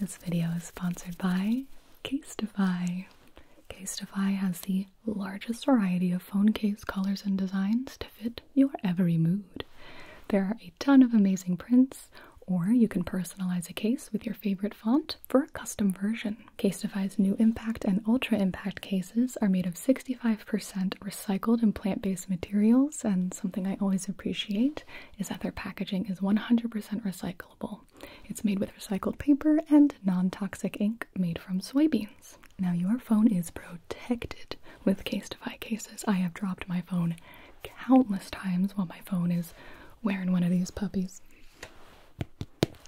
This video is sponsored by Casetify. Casetify has the largest variety of phone case colors and designs to fit your every mood. There are a ton of amazing prints, or you can personalize a case with your favorite font for a custom version. Casetify's new impact and ultra impact cases are made of 65% recycled and plant based materials, and something I always appreciate is that their packaging is 100% recyclable. It's made with recycled paper and non toxic ink made from soybeans. Now, your phone is protected with Casetify cases. I have dropped my phone countless times while my phone is wearing one of these puppies.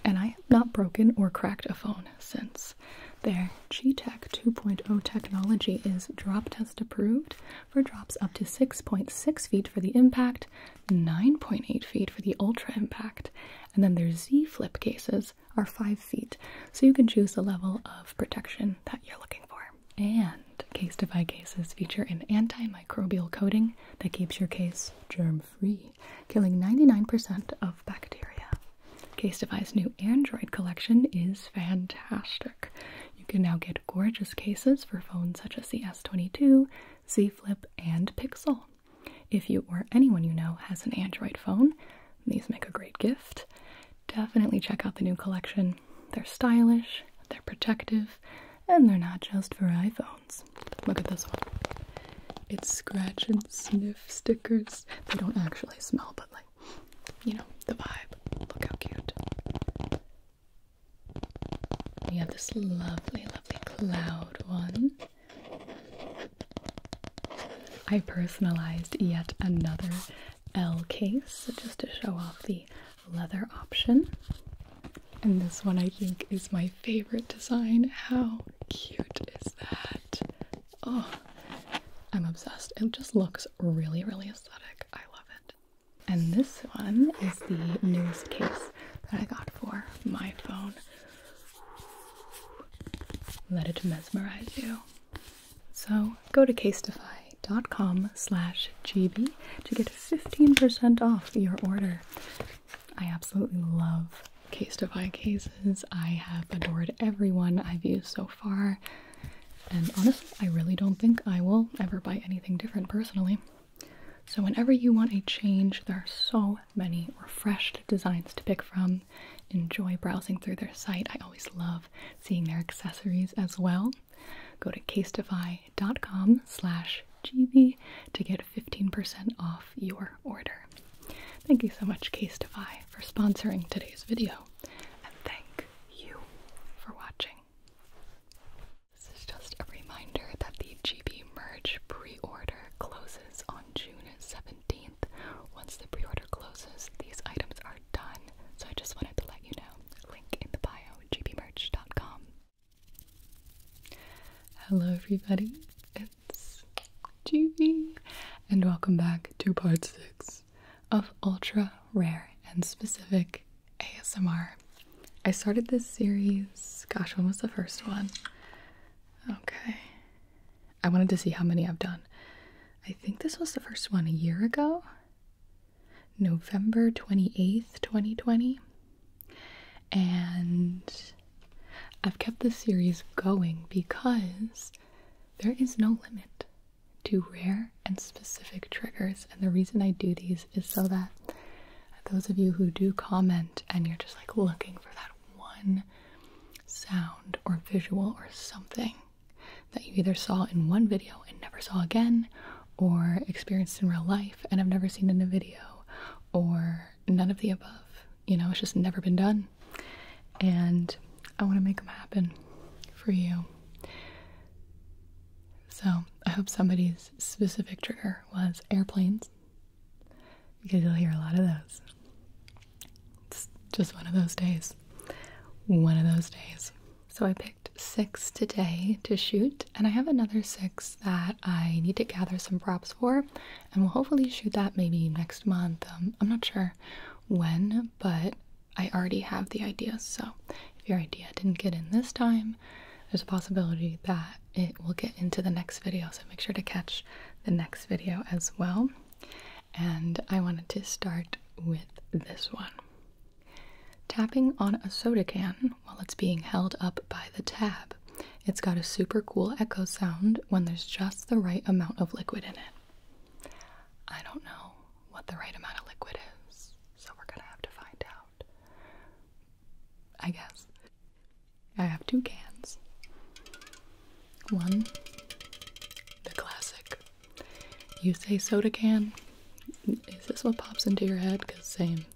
And I have not broken or cracked a phone since. Their G-Tech 2.0 technology is drop test approved, for drops up to 6.6 feet for the impact, 9.8 feet for the ultra impact, and then their Z flip cases are 5 feet. So you can choose the level of protection that you're looking for. And case defy cases feature an antimicrobial coating that keeps your case germ free, killing 99% of bacteria. Case Defy's new Android collection is fantastic. You can now get gorgeous cases for phones such as the S. 22 Z Flip, and Pixel. If you or anyone you know has an Android phone, these make a great gift. Definitely check out the new collection. They're stylish, they're protective, and they're not just for iPhones. Look at this one. It's scratch and sniff stickers. They don't actually smell, but like, you know, the vibe. Look how cute. We have this lovely, lovely cloud one. I personalized yet another L case just to show off the leather option. And this one I think is my favorite design. How cute is that? Oh, I'm obsessed. It just looks really, really aesthetic. I love it. And this one is the newest case that I got for my phone. Let it mesmerize you. So go to casetify.com slash gb to get 15% off your order. I absolutely love Casetify cases. I have adored everyone I've used so far. And honestly, I really don't think I will ever buy anything different personally. So, whenever you want a change, there are so many refreshed designs to pick from. Enjoy browsing through their site. I always love seeing their accessories as well. Go to casetify.com slash GB to get 15% off your order. Thank you so much, Casetify, for sponsoring today's video, and thank you for watching. This is just a reminder that the GB merge pre-order closes on June 17th. Once the pre-order closes, these items are done. So I just wanted to let you know. Link in the bio, gbmerch.com. Hello everybody, it's GB and welcome back to part 6 of Ultra Rare and Specific ASMR. I started this series, gosh, when was the first one? Okay. I wanted to see how many I've done. I think this was the first one a year ago, November 28th, 2020. And I've kept this series going because there is no limit to rare and specific triggers. And the reason I do these is so that those of you who do comment and you're just like looking for that one sound or visual or something that you either saw in one video and never saw again, or experienced in real life and have never seen in a video, or none of the above. You know, it's just never been done. And I want to make them happen for you. So I hope somebody's specific trigger was airplanes because you'll hear a lot of those. It's just one of those days. One of those days. So I picked six today to shoot, and I have another six that I need to gather some props for, and we'll hopefully shoot that maybe next month. Um, I'm not sure when, but I already have the ideas. So if your idea didn't get in this time, there's a possibility that it will get into the next video. So make sure to catch the next video as well. And I wanted to start with this one. Tapping on a soda can while it's being held up by the tab. It's got a super cool echo sound when there's just the right amount of liquid in it. I don't know what the right amount of liquid is, so we're gonna have to find out. I guess. I have two cans. One, the classic. You say soda can. Is this what pops into your head? Because same.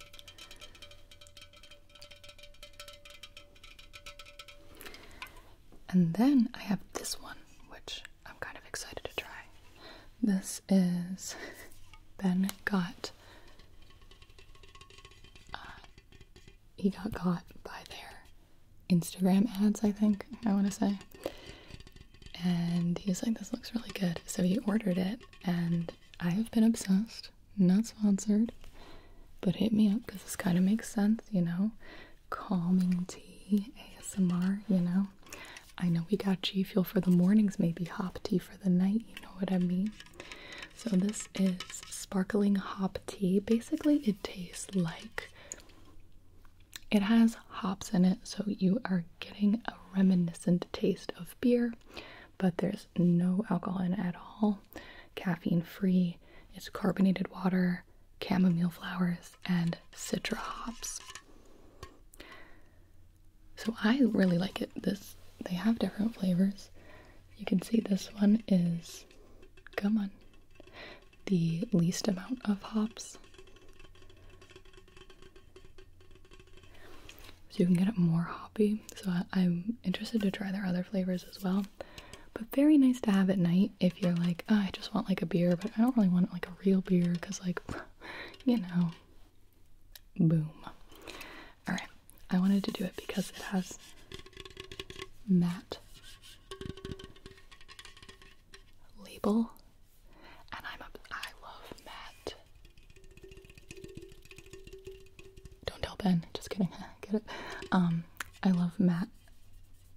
And then I have this one, which I'm kind of excited to try. This is Ben got uh, he got caught by their Instagram ads, I think, I want to say. And he was like, this looks really good. So he ordered it, and I have been obsessed. Not sponsored, but hit me up because this kind of makes sense, you know? Calming tea, ASMR, you know? I know we got G Fuel for the mornings, maybe hop tea for the night, you know what I mean? So, this is sparkling hop tea. Basically, it tastes like it has hops in it, so you are getting a reminiscent taste of beer, but there's no alcohol in at all. Caffeine free, it's carbonated water, chamomile flowers, and citra hops. So I really like it. This they have different flavors. You can see this one is come on, the least amount of hops. So you can get it more hoppy. So I, am interested to try their other flavors as well. But very nice to have at night if you're like, ah, I just want like a beer, but I don't really want like a real beer because like, you know, Boom. Alright, I wanted to do it because it has matte label and I'm a I love matte. Don't tell Ben, just kidding. Get it? Um I love matte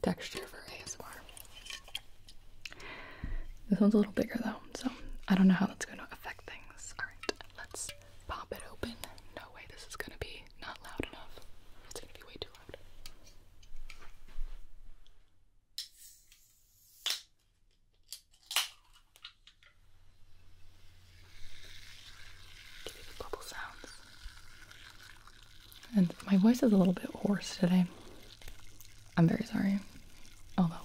texture for ASMR. This one's a little bigger though, so I don't know how that's gonna affect things. Alright, let's pop it open. No way, this is gonna be not loud enough. It's gonna be way too loud. Give you the bubble sounds. And my voice is a little bit hoarse today. I'm very sorry. Although,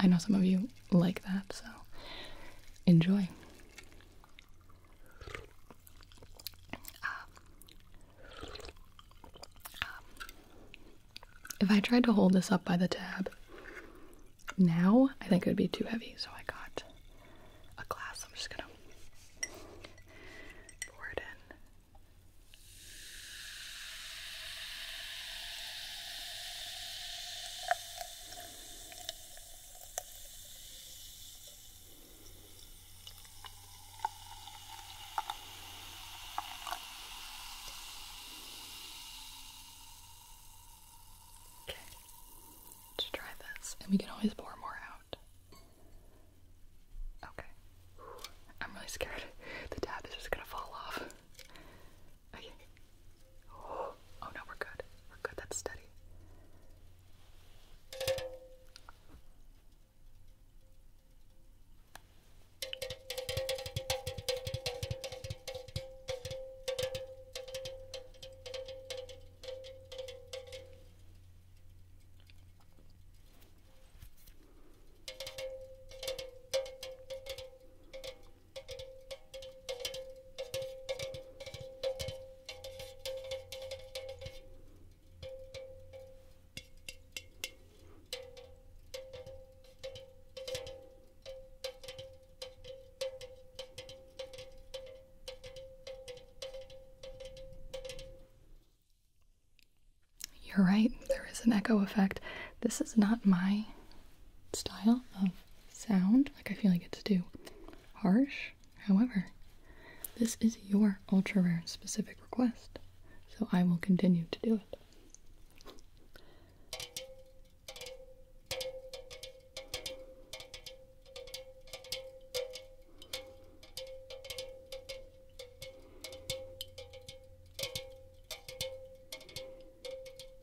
I know some of you like that, so enjoy. Um, um, if I tried to hold this up by the tab now, I think it would be too heavy, so I got a glass. I'm just gonna pour it in. Okay, let try this, and we can always pour more out. Okay, I'm really scared. The tab is just gonna fall off. Oh, oh, no, we're good. We're good. That's steady. You're right, there is an echo effect. This is not my style of sound. Like, I feel like it's too harsh. However, this is your ultra rare specific request, so I will continue to do it.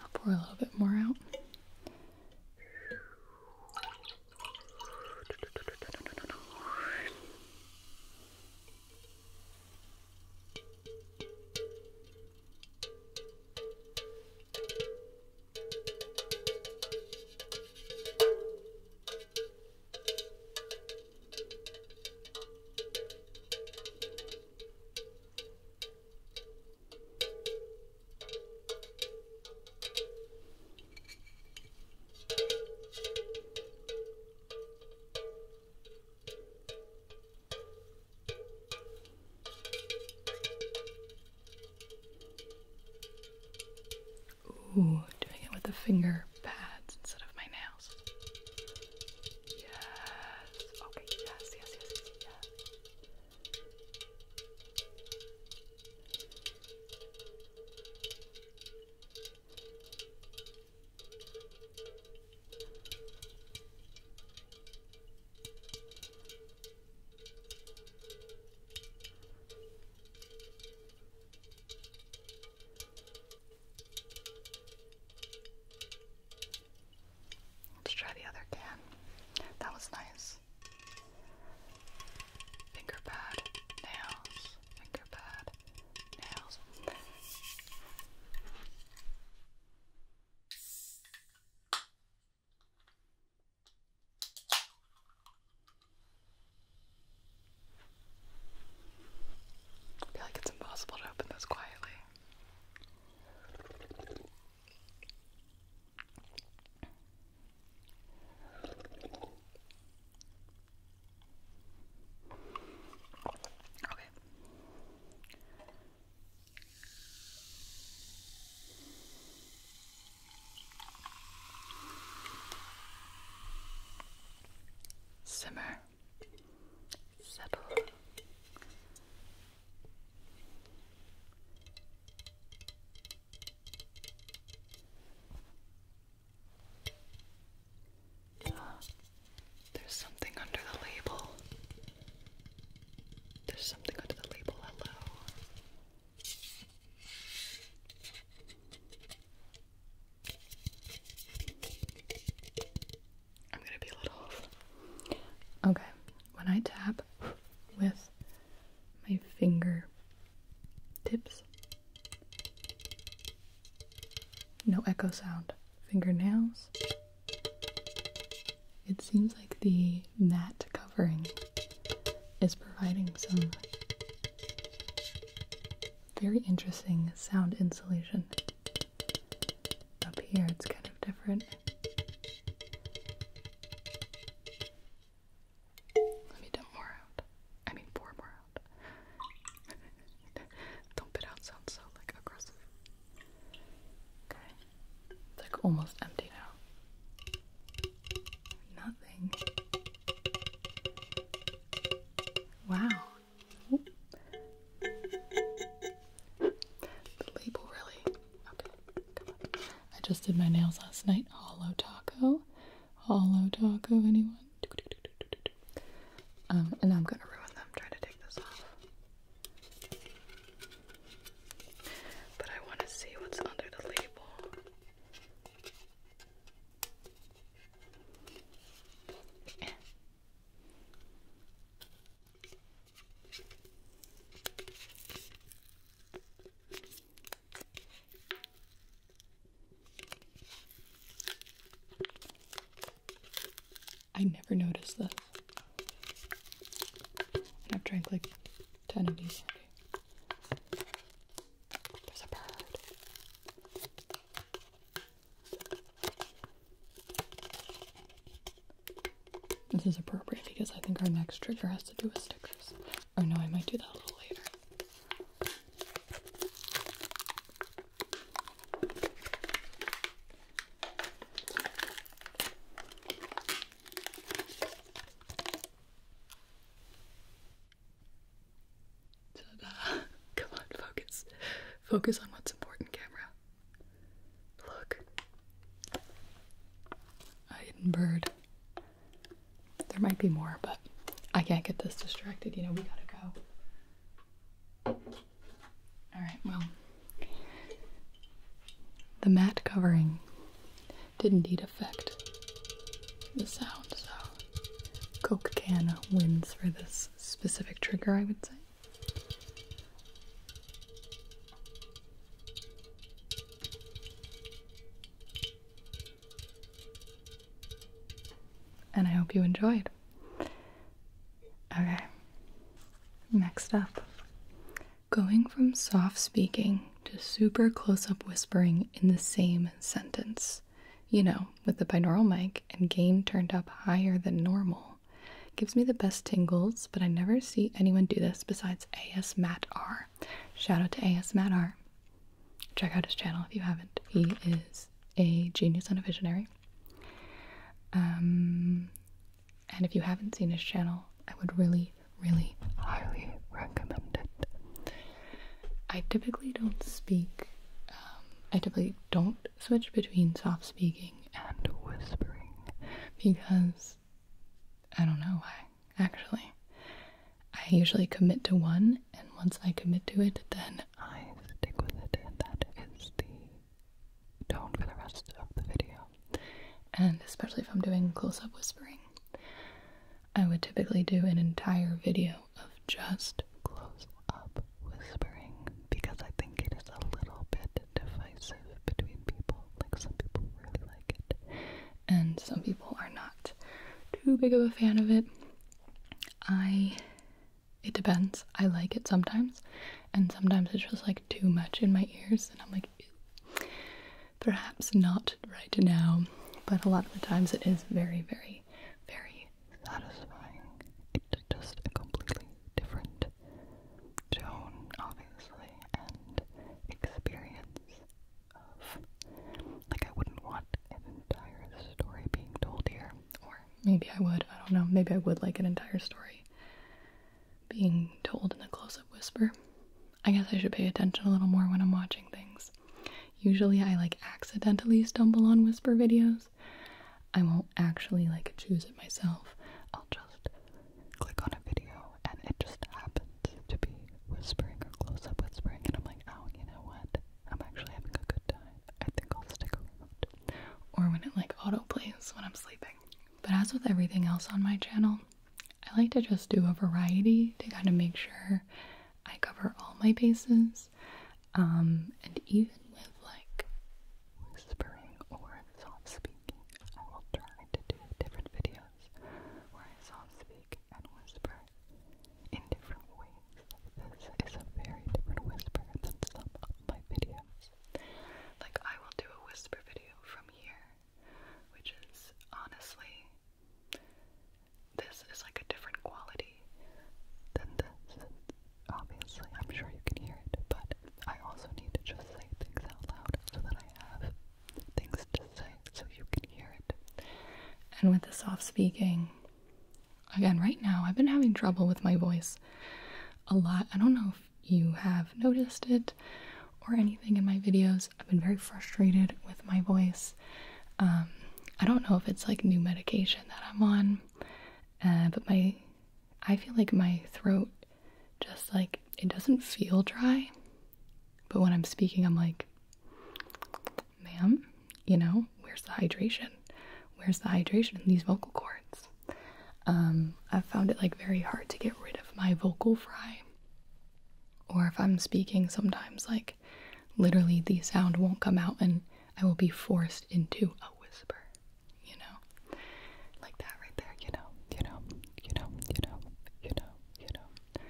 I'll pour a little bit more out. Ooh, doing it with the finger pads instead of my nails. Yes. Okay, yes, yes, yes, yes, yes. Let's try the other can. That was nice. Finger pad, nails, finger pad, nails. I feel like it's impossible to open this quietly. Okay. Simmer settle. Ah, there's something under the label. There's something under the label. Hello. I'm gonna be a little Okay, when I tap with my finger tips, no echo sound. Fingernails, it seems like the matte covering is providing some very interesting sound insulation. Up here, it's kind of different. Let me dump more out. I mean, pour more out. dump it out sounds so like aggressive. Okay, it's like almost empty now. Nothing. Wow the label really. Okay, come on. I just did my nails last night. Hollow taco. Hollow taco, anyone? Um, and I'm gonna ruin them trying to take this off. But I wanna see what's under the label. Eh. I never noticed that. I've drank like 10 of these There's a bird. This is appropriate because I think our next trigger has to do with stickers. Or oh, no, I might do that a little later. Come on, focus. Focus on what's important, camera. Look. A hidden bird. There might be more, but I can't get this distracted. You know, we gotta go. Alright, well. The mat covering did indeed affect the sound, so Coke can wins for this specific trigger, I would say. And I hope you enjoyed. Okay. Next up, going from soft speaking to super close up whispering in the same sentence. You know, with the binaural mic and gain turned up higher than normal gives me the best tingles, but I never see anyone do this besides AS Matt R. Shout out to AS Matt R. Check out his channel if you haven't. He is a genius and a visionary. Um, and if you haven't seen his channel, I would really, really highly recommend it. I typically don't speak. Um, I typically don't switch between soft speaking and whispering because I don't know why, actually. I usually commit to one, and once I commit to it, then I stick with it, and that is the tone for the rest of the video. And especially if I'm doing close up whispering, I would typically do an entire video of just close up whispering because I think it is a little bit divisive between people. Like, some people really like it, and some people are not too big of a fan of it. I. It depends. I like it sometimes, and sometimes it's just like too much in my ears, and I'm like, perhaps not right now. But a lot of the times it is very, very, very satisfying. It's just a completely different tone, obviously, and experience of. Like, I wouldn't want an entire story being told here. Or maybe I would, I don't know. Maybe I would like an entire story being told in a close up whisper. I guess I should pay attention a little more when I'm watching things. Usually I like accidentally stumble on whisper videos. I won't actually like choose it myself. I'll just click on a video and it just happens to be whispering or close up whispering, and I'm like, oh, you know what? I'm actually having a good time. I think I'll stick around. Or when it like auto plays when I'm sleeping. But as with everything else on my channel, I like to just do a variety to kind of make sure I cover all my bases. Um, and even with like whispering or soft speaking. I will try to do different videos where I soft speak and whisper in different ways. This is a very different whisper than some of my videos. Like, I will do a whisper video from here, which is honestly, this is like a different quality than this. Obviously, I'm sure you can hear it, but I also need to just say things out loud so that I have things to say so you can hear it. And with the soft speaking, again, right now, I've been having trouble with my voice a lot. I don't know if you have noticed it or anything in my videos. I've been very frustrated with my voice. Um, I don't know if it's like new medication that I'm on, uh, but my I feel like my throat just like it doesn't feel dry, but when I'm speaking, I'm like, ma'am, you know, where's the hydration? Where's the hydration in these vocal cords? Um, I've found it like very hard to get rid of my vocal fry. Or if I'm speaking, sometimes like literally the sound won't come out and I will be forced into a whisper you know? Like that right there, you know, you know, you know, you know, you know, you know.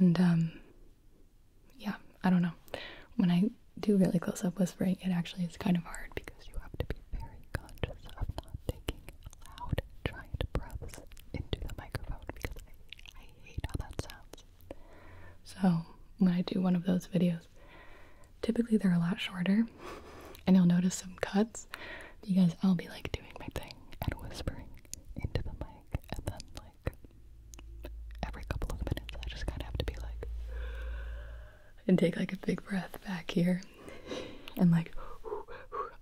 And, um, yeah, I don't know. When I do really close up whispering, it actually is kind of hard because you have to be very conscious of not taking loud, giant breaths into the microphone because I hate how that sounds. So, when I do one of those videos, Typically, they're a lot shorter, and you'll notice some cuts because I'll be like doing my thing and whispering into the mic, and then like every couple of minutes, I just kind of have to be like and take like a big breath back here and like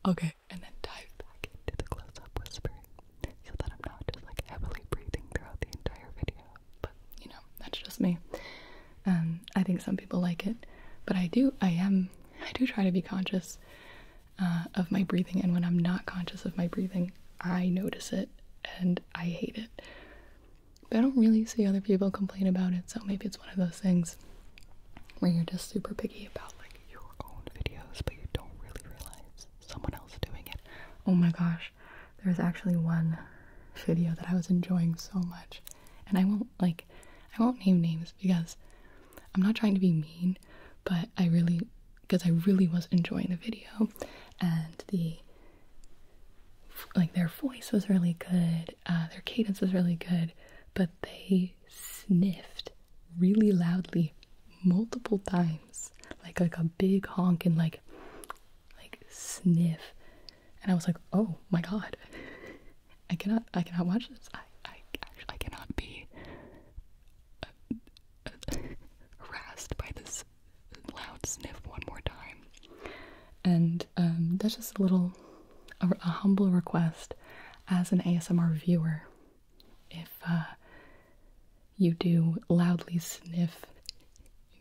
okay, and then dive back into the close up whispering so that I'm not just like heavily breathing throughout the entire video. But you know, that's just me. Um, I think some people like it, but I do. I am. I do try to be conscious uh, of my breathing, and when I'm not conscious of my breathing, I notice it and I hate it. But I don't really see other people complain about it, so maybe it's one of those things where you're just super picky about like your own videos, but you don't really realize someone else doing it. Oh my gosh, there's actually one video that I was enjoying so much, and I won't like I won't name names because I'm not trying to be mean, but I really because I really was enjoying the video and the like their voice was really good, uh, their cadence was really good, but they sniffed really loudly multiple times, like like a big honk and like like sniff and I was like, oh my god, I cannot, I cannot watch this. I, I, cannot be uh, harassed by this loud sniff one more time. And um, that's just a little, a, humble request as an ASMR viewer. If uh, you do loudly sniff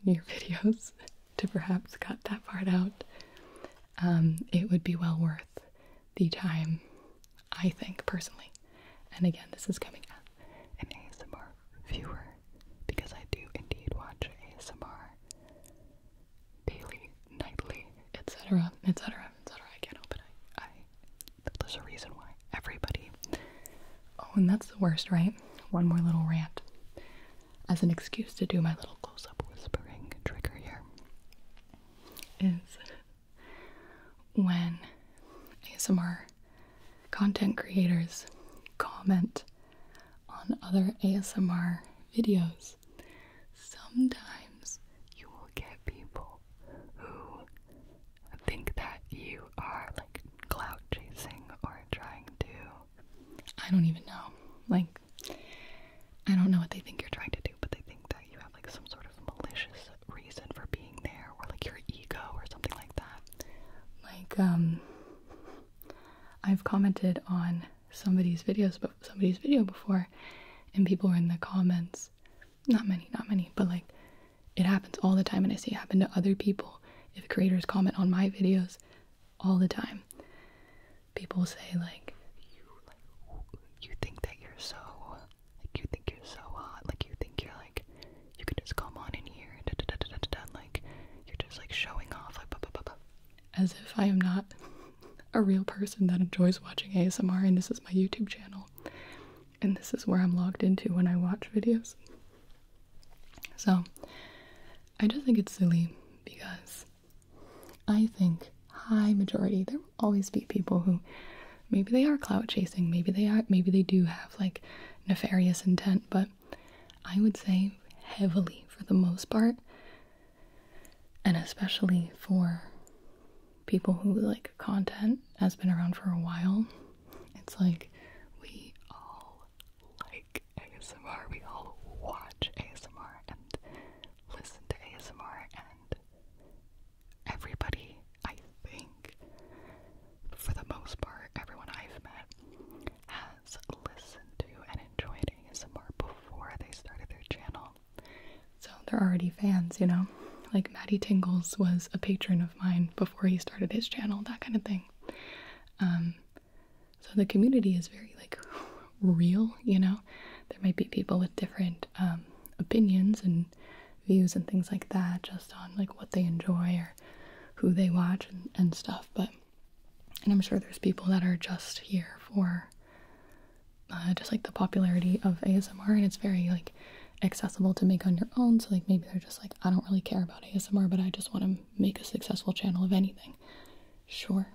your videos, to perhaps cut that part out, um, it would be well worth the time, I think, personally. And again, this is coming at an ASMR viewer because I do indeed watch ASMR daily, nightly, etc., etc., etc. I can't help it. there's a reason why everybody. Oh, and that's the worst, right? One more little rant as an excuse to do my little close up whispering trigger here is when ASMR content creators comment on other ASMR videos, sometimes you will get people who think that you are like clout chasing or trying to I don't even know. Like, I don't know what they think you're trying to do, but they think that you have like some sort of malicious reason for being there, or like your ego, or something like that. Like, um, I've commented on somebody's videos, but somebody's video before, and people were in the comments. Not many, not many, but like, it happens all the time, and I see it happen to other people. If creators comment on my videos, all the time. People say like you like you think that you're so like you think you're so hot, like you think you're like you can just come on in here da, da, da, da, da, da, like you're just like showing off like blah, blah, blah, blah. as if I am not a real person that enjoys watching ASMR and this is my YouTube channel and this is where I'm logged into when I watch videos. So I just think it's silly because I think, high majority. There will always be people who maybe they are clout chasing, maybe they are maybe they do have like nefarious intent, but I would say heavily for the most part and especially for people who like content has been around for a while, it's like we all like ASMR. We all watch ASMR and listen to ASMR, and everybody, I think, for the most part, everyone I've met has listened to and enjoyed ASMR before they started their channel. So they're already fans, you know? Like Maddie Tingles was a patron of mine before he started his channel, that kind of thing. Um, so the community is very like real, you know. There might be people with different um, opinions and views and things like that, just on like what they enjoy or who they watch and, stuff. But and I'm sure there's people that are just here for uh, just like the popularity of ASMR, and it's very like accessible to make on your own. So like maybe they're just like I don't really care about ASMR, but I just want to make a successful channel of anything. Sure,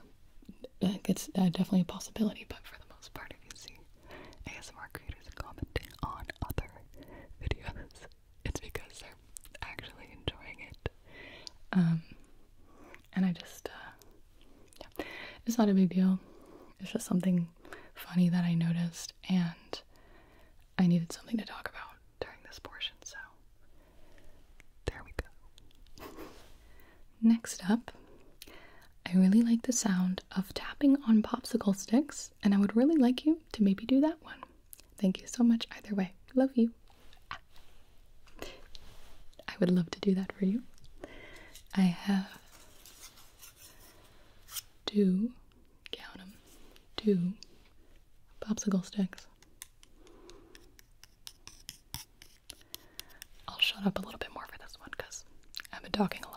it's uh, definitely a possibility, but for the most part, if you see ASMR creators commenting on other videos, it's because they're actually enjoying it. Um, and I just, uh, yeah, it's not a big deal. It's just something funny that I noticed, and I needed something to talk about during this portion, so there we go. Next up, I really like the sound of tapping on popsicle sticks, and I would really like you to maybe do that one. Thank you so much, either way. Love you. I would love to do that for you. I have two, count them, two popsicle sticks. I'll shut up a little bit more for this one because I've been talking a lot.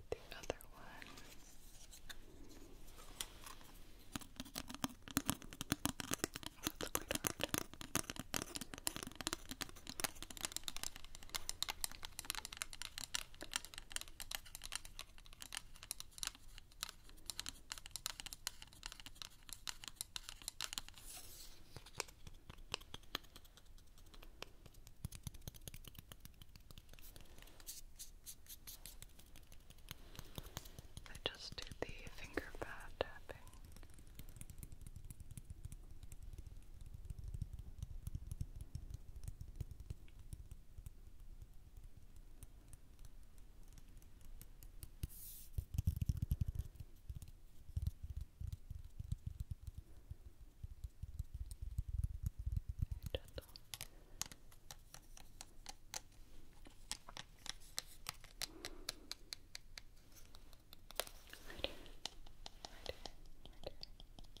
Get the other one. Oh, that's quite hard. I just do the finger pad tapping gentle. Right here, right here, right here, right here. Right here.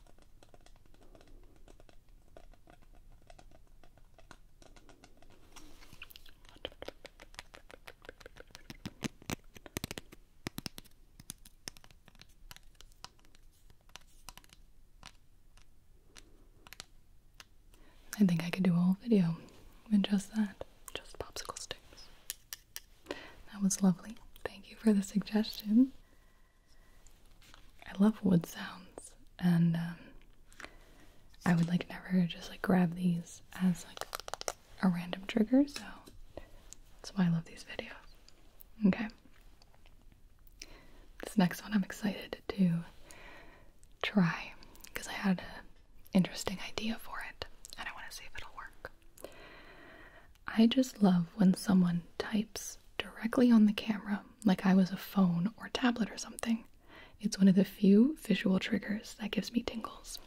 I think I could do a whole video with just that, just popsicle sticks. That was lovely. Thank you for the suggestion. I love wood sounds, and um, I would like never just like grab these as like a random trigger, so that's why I love these videos. Okay. This next one I'm excited to try because I had an interesting idea for it and I want to see if it'll work. I just love when someone types directly on the camera like I was a phone or tablet or something. It's one of the few visual triggers that gives me tingles.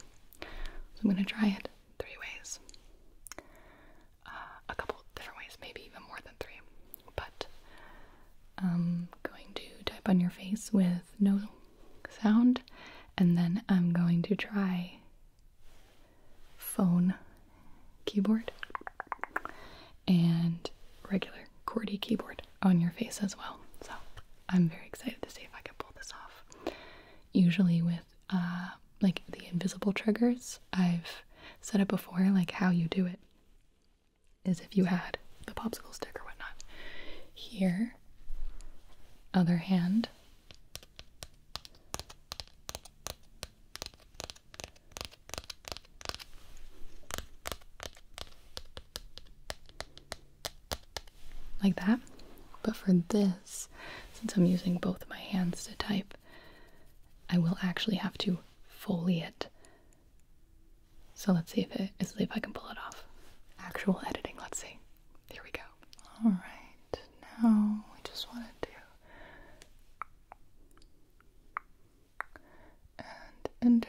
I'm going to try it three ways. Uh, a couple different ways, maybe even more than three. But I'm um, going to type on your face with no sound, and then I'm going to try phone keyboard and regular QWERTY keyboard on your face as well. So I'm very excited to see if I can pull this off. Usually with uh, like the invisible triggers, I've said it before, like how you do it is if you had the popsicle stick or whatnot. Here, other hand, like that. But for this, since I'm using both my hands to type, I will actually have to foliate. So let's see if it let's see if I can pull it off. Actual editing, let's see. Here we go. Alright, now we just want to do and enter.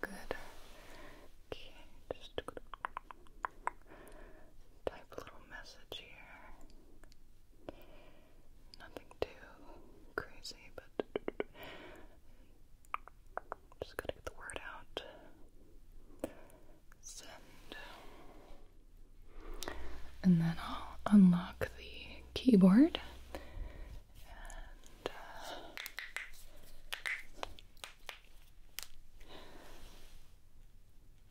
Good. Okay, just type a little message here. Nothing too crazy, but just gotta get the word out. Send. And then I'll unlock the keyboard uh,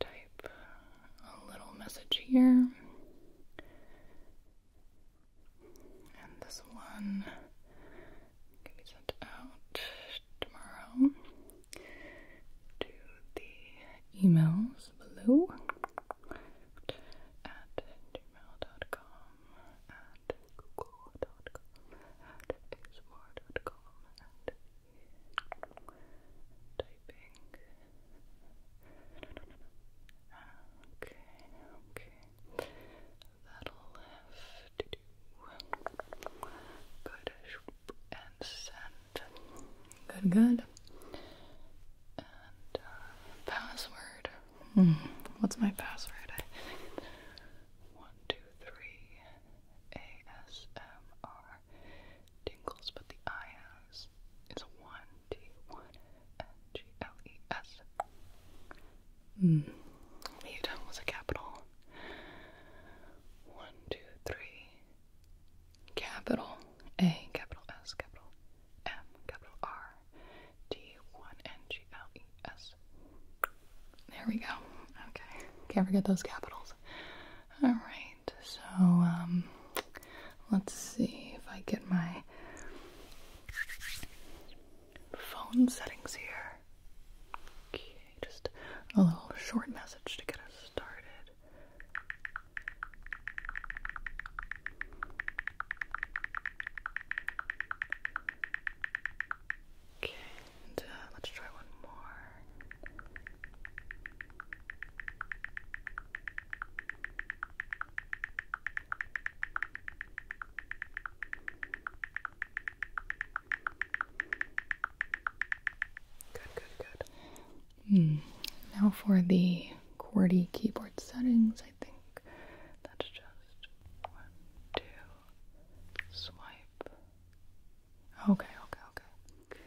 type a little message here. And this one can be sent out tomorrow to the emails below at gmail.com, at google.com, at explore.com, at typing. No, no, no, no. Okay, okay. That'll have to do. Good and send. Good, good. Uh, password. Hmm. What's my password? one, two, three. ASMR tingles, but the I has is one hmm. T was a capital. One, two, three capital A, capital S, capital M, capital R, D, 1, N, G, L, E, S. There we go. Okay. Can't forget those capitals. Alright, so, um, let's see if I get my phone settings here. Okay, just a little short message to get us started. Okay, and, uh, let's try one more. Good, good, good. Hmm. Now for the QWERTY keyboard settings, I think that's just one, two, swipe. Okay, okay, okay.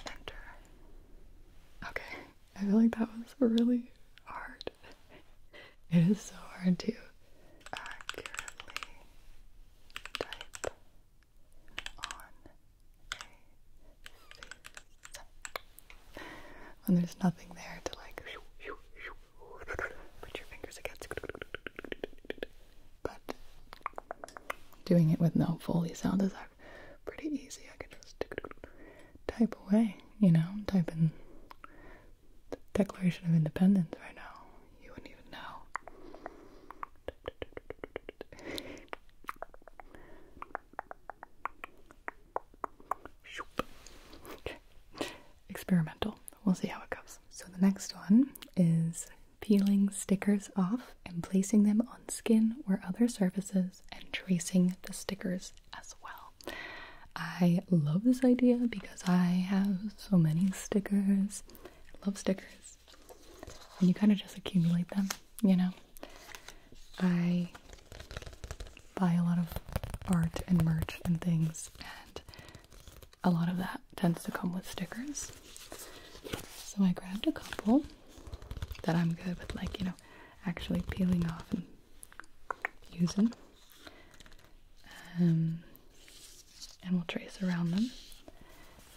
Okay. Enter. Okay. I feel like that was really hard. it is so hard to accurately type on a face when there's nothing there to like put your fingers against. But doing it with no Foley sound is actually pretty easy. I can just type away, you know, type in the Declaration of Independence right now. You wouldn't even know. Experimental. We'll see how it goes. So the next one is peeling stickers off and placing them on skin or other surfaces and tracing the stickers as well. I love this idea because I have so many stickers. love stickers. And you kind of just accumulate them, you know? I buy a lot of art and merch and things, and a lot of that tends to come with stickers. So I grabbed a couple that I'm good with, like, you know, actually peeling off and using. Um, and we'll trace around them.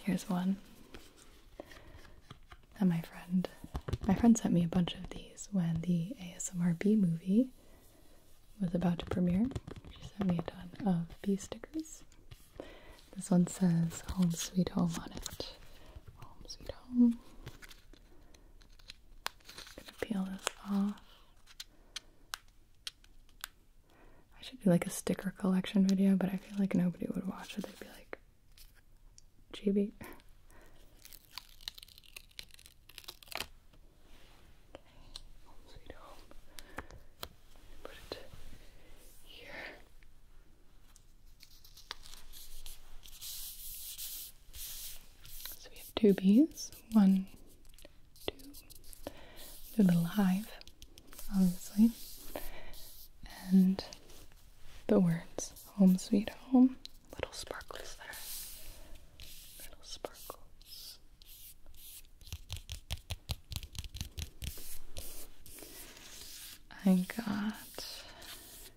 Here's one that my friend, my friend sent me a bunch of these when the ASMRB movie was about to premiere. She sent me a ton of bee stickers. This one says "Home Sweet Home" on it. Home Sweet Home. I'm gonna peel this off. I should do like a sticker collection video, but I feel like nobody would watch it. They'd be like, "GB." Okay, Put it here. So we have two bees, one, two, their little hive, obviously, and the words home sweet home, little sparkles there, little sparkles. I got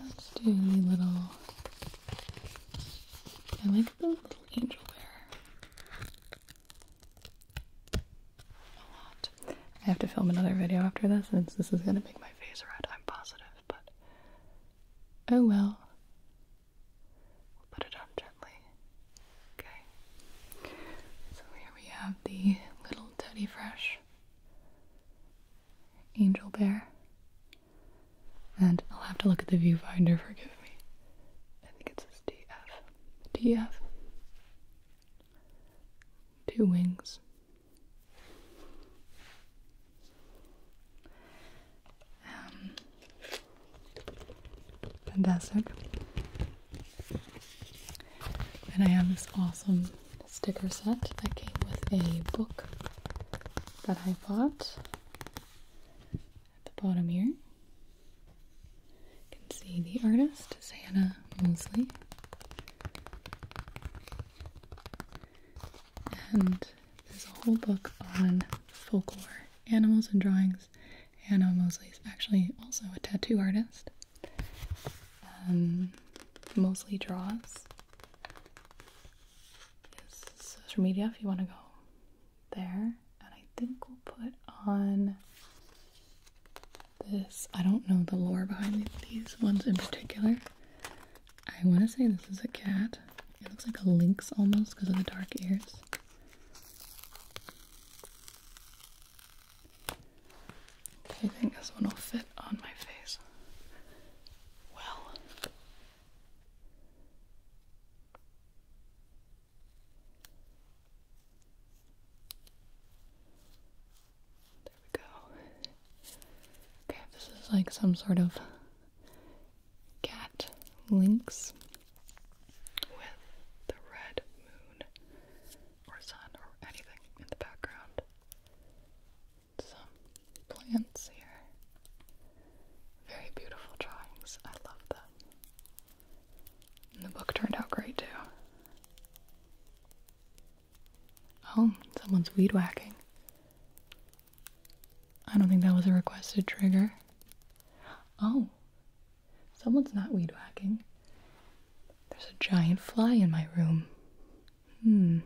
Let's do the little. I like the little angel bear A lot. I have to film another video after this, since this is gonna make my face red. I'm positive, but oh well. We'll put it on gently. Okay. So here we have the little Teddy Fresh angel bear. And I'll have to look at the viewfinder, forgive me. I think it says DF. DF. Two wings. Um, fantastic. And I have this awesome sticker set that came with a book that I at the bottom here. You can see the artist is Hannah Mosley. And there's a whole book on folklore, animals and drawings. Hannah Mosley is actually also a tattoo artist. Um, mostly draws is social media if you want to go there. And I think we'll put on this. I don't know the lore behind these ones in particular. I want to say this is a cat. It looks like a lynx almost because of the dark ears. I think this one will fit on my face. Well, there we go. Okay, this is like some sort of cat links with the red moon or sun or anything in the background some plants here. Very beautiful drawings. I love them. the book turned out great too. Oh, someone's weed whacking. I don't think that was a requested trigger. Oh, someone's not weed whacking. There's a giant fly in my room. Hmm.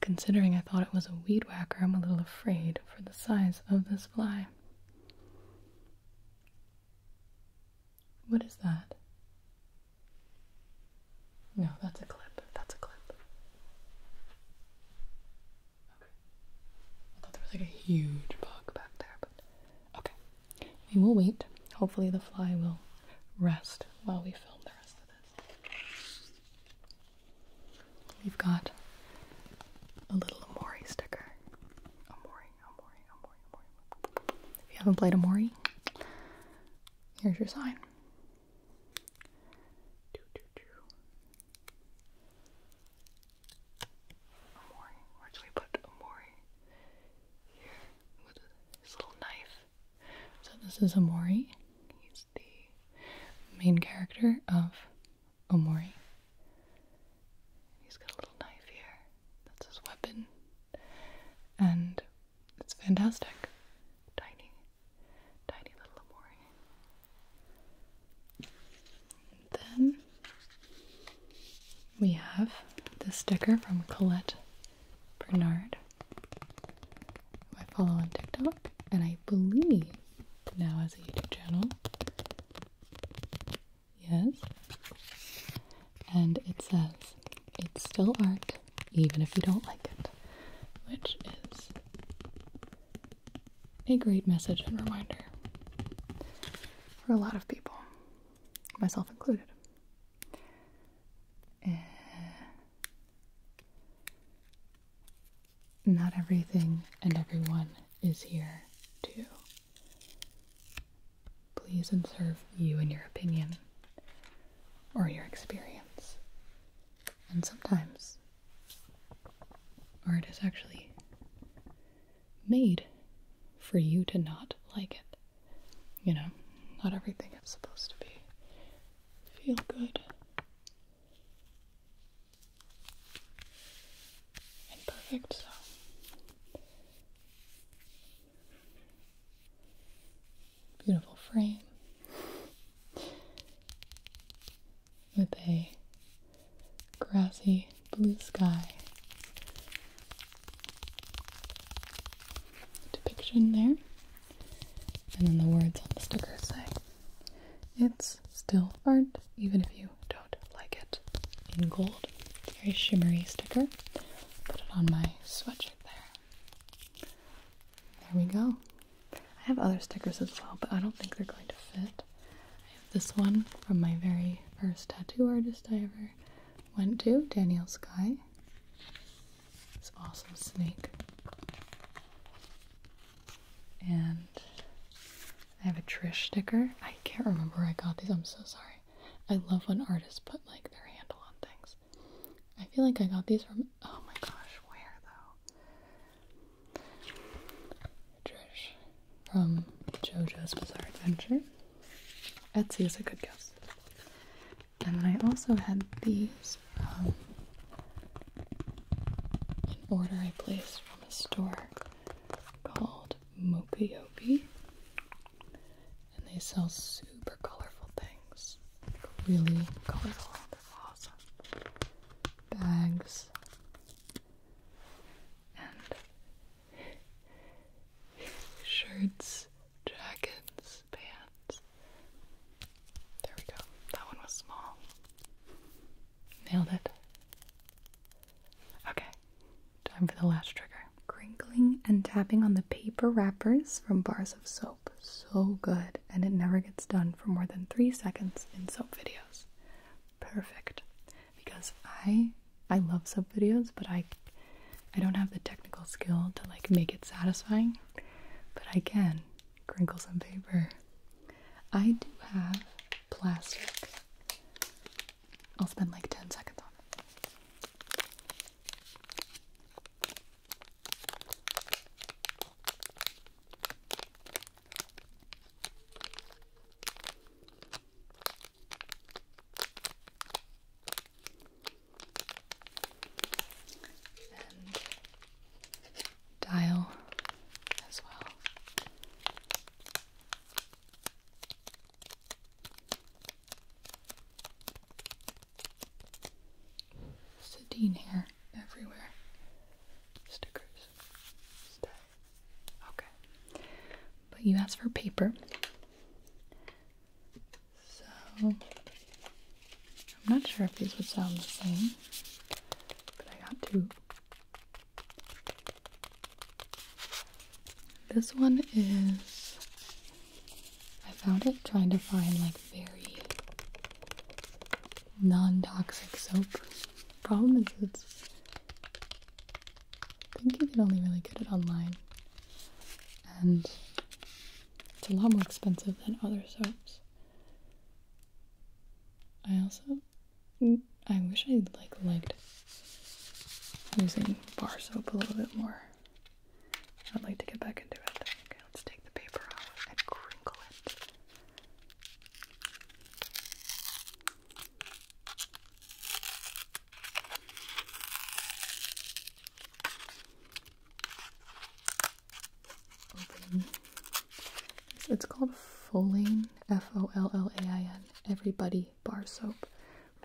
Considering I thought it was a weed whacker, I'm a little afraid for the size of this fly. What is that? No, that's a clip. That's a clip. Okay. I thought there was like a huge bug back there, but okay. We will wait. Hopefully, the fly will rest while we film the rest of this. We've got a little Amori sticker. Amori, Amori, Amori, Amori. If you haven't played Amori, here's your sign. Amori. Where do we put Amori? with his little knife. So this is Amori. He's the main character of Amori. He's got a little knife here. That's his weapon. And it's fantastic. Tiny, tiny little Omori. Then we have the sticker from Colette Bernard, I follow on TikTok, and I believe now has a YouTube channel. Yes. And it says, it's still art, even if you don't like it, which is a great message and reminder for a lot of people, myself included. Eh, not everything and everyone is here to please and serve you and your opinion or your experience. And sometimes art is actually made for you to not like it you know, not everything is supposed to be feel good and perfect, so. Beautiful frame with a grassy blue sky depiction there. And then the words on the sticker say, It's still art, even if you don't like it. In gold. Very shimmery sticker. Put it on my sweatshirt there. There we go. I have other stickers as well, but I don't think they're going to fit. I have this one from my very first tattoo artist I ever went to, Daniel Sky, It's also a snake. And I have a Trish sticker. I can't remember where I got these, I'm so sorry. I love when artists put like their handle on things. I feel like I got these from oh my gosh, where though? Trish from JoJo's Bizarre Adventure. Etsy is a good guess. And then I also had these from um, an order I placed from a store called Mokuyobi. And they sell super colorful things. really colorful. They're awesome. Bags. And shirts Dragon's pants. There we go. That one was small. Nailed it. Okay, time for the last trigger. Crinkling and tapping on the paper wrappers from bars of soap. So good, and it never gets done for more than three seconds in soap videos. Perfect. Because I I love soap videos, but I I don't have the technical skill to like make it satisfying, but I can crinkle some paper. I do have plastic. I'll spend like 10 seconds on it dial as well. Sedine hair everywhere. Stickers. Okay. But you asked for paper. So, I'm not sure if these would sound the same, but I got two. This one is, I found it trying to find like very non-toxic soap. Problem is it's, I think you can only really get it online. And it's a lot more expensive than other soaps. I also mm. I wish I like liked using bar soap a little bit more. I'd like to get back into it. Okay, let's take the paper out and crinkle it. It's called Folane, F O L L A I N, Everybody Bar Soap.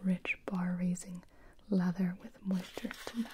Rich bar raising lather with moisture to match.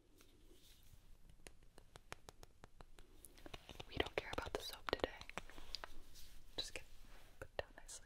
We don't care about the soap today. Just get put down nicely.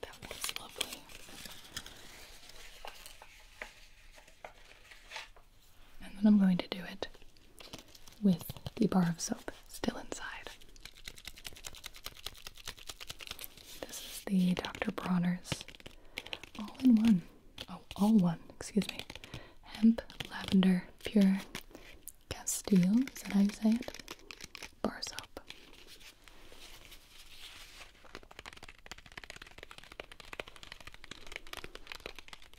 That was lovely. And then I'm going to do it with the bar of soap still inside. This is the Dr. Bronner's all in one. Oh, all one, excuse me. Hemp, lavender, pure Castile, is that how you say it? Bar soap.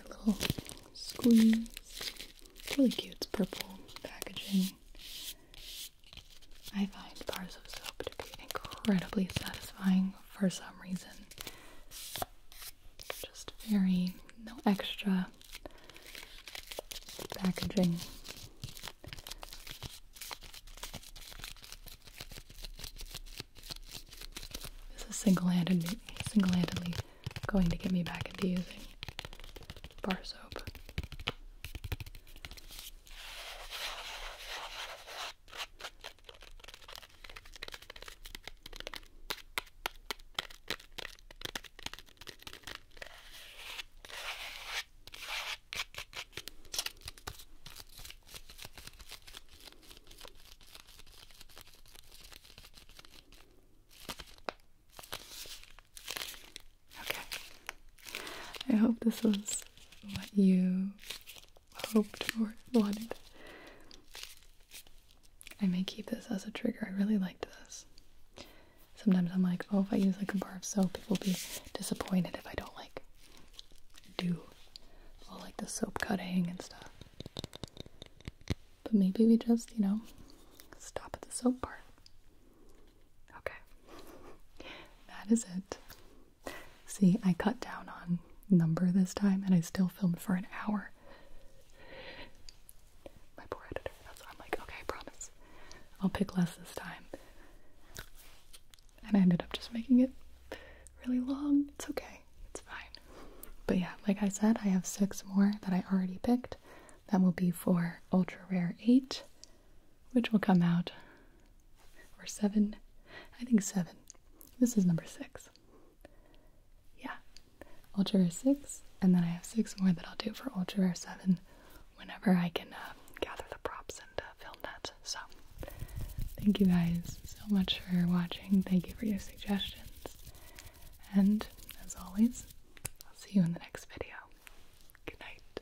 a little squeeze. really cute. It's purple packaging. I find bars of soap to be incredibly satisfying for some reason. Just very, no extra packaging. This is single-handedly single-handedly going to get me back into using bar soap. Okay. I hope this was what you hoped or wanted. I may keep this as a trigger. I really liked this. Sometimes I'm like, oh, if I use like a bar of soap, people will be disappointed if I don't like do all like the soap cutting and stuff. But maybe we just, you know, stop at the soap part. Okay. That is it. See, I cut down on number this time and I still filmed for an hour. My poor editor. That's I'm like, okay, promise. I'll pick less this time and I ended up just making it really long. It's okay, it's fine. But yeah, like I said, I have six more that I already picked. That will be for Ultra Rare 8, which will come out, or 7, I think 7. This is number 6. Yeah, Ultra Rare 6, and then I have six more that I'll do for Ultra Rare 7 whenever I can uh, gather the props and uh, film. So, thank you guys so much for watching. Thank you for your suggestions. And as always, I'll see you in the next video. Good night.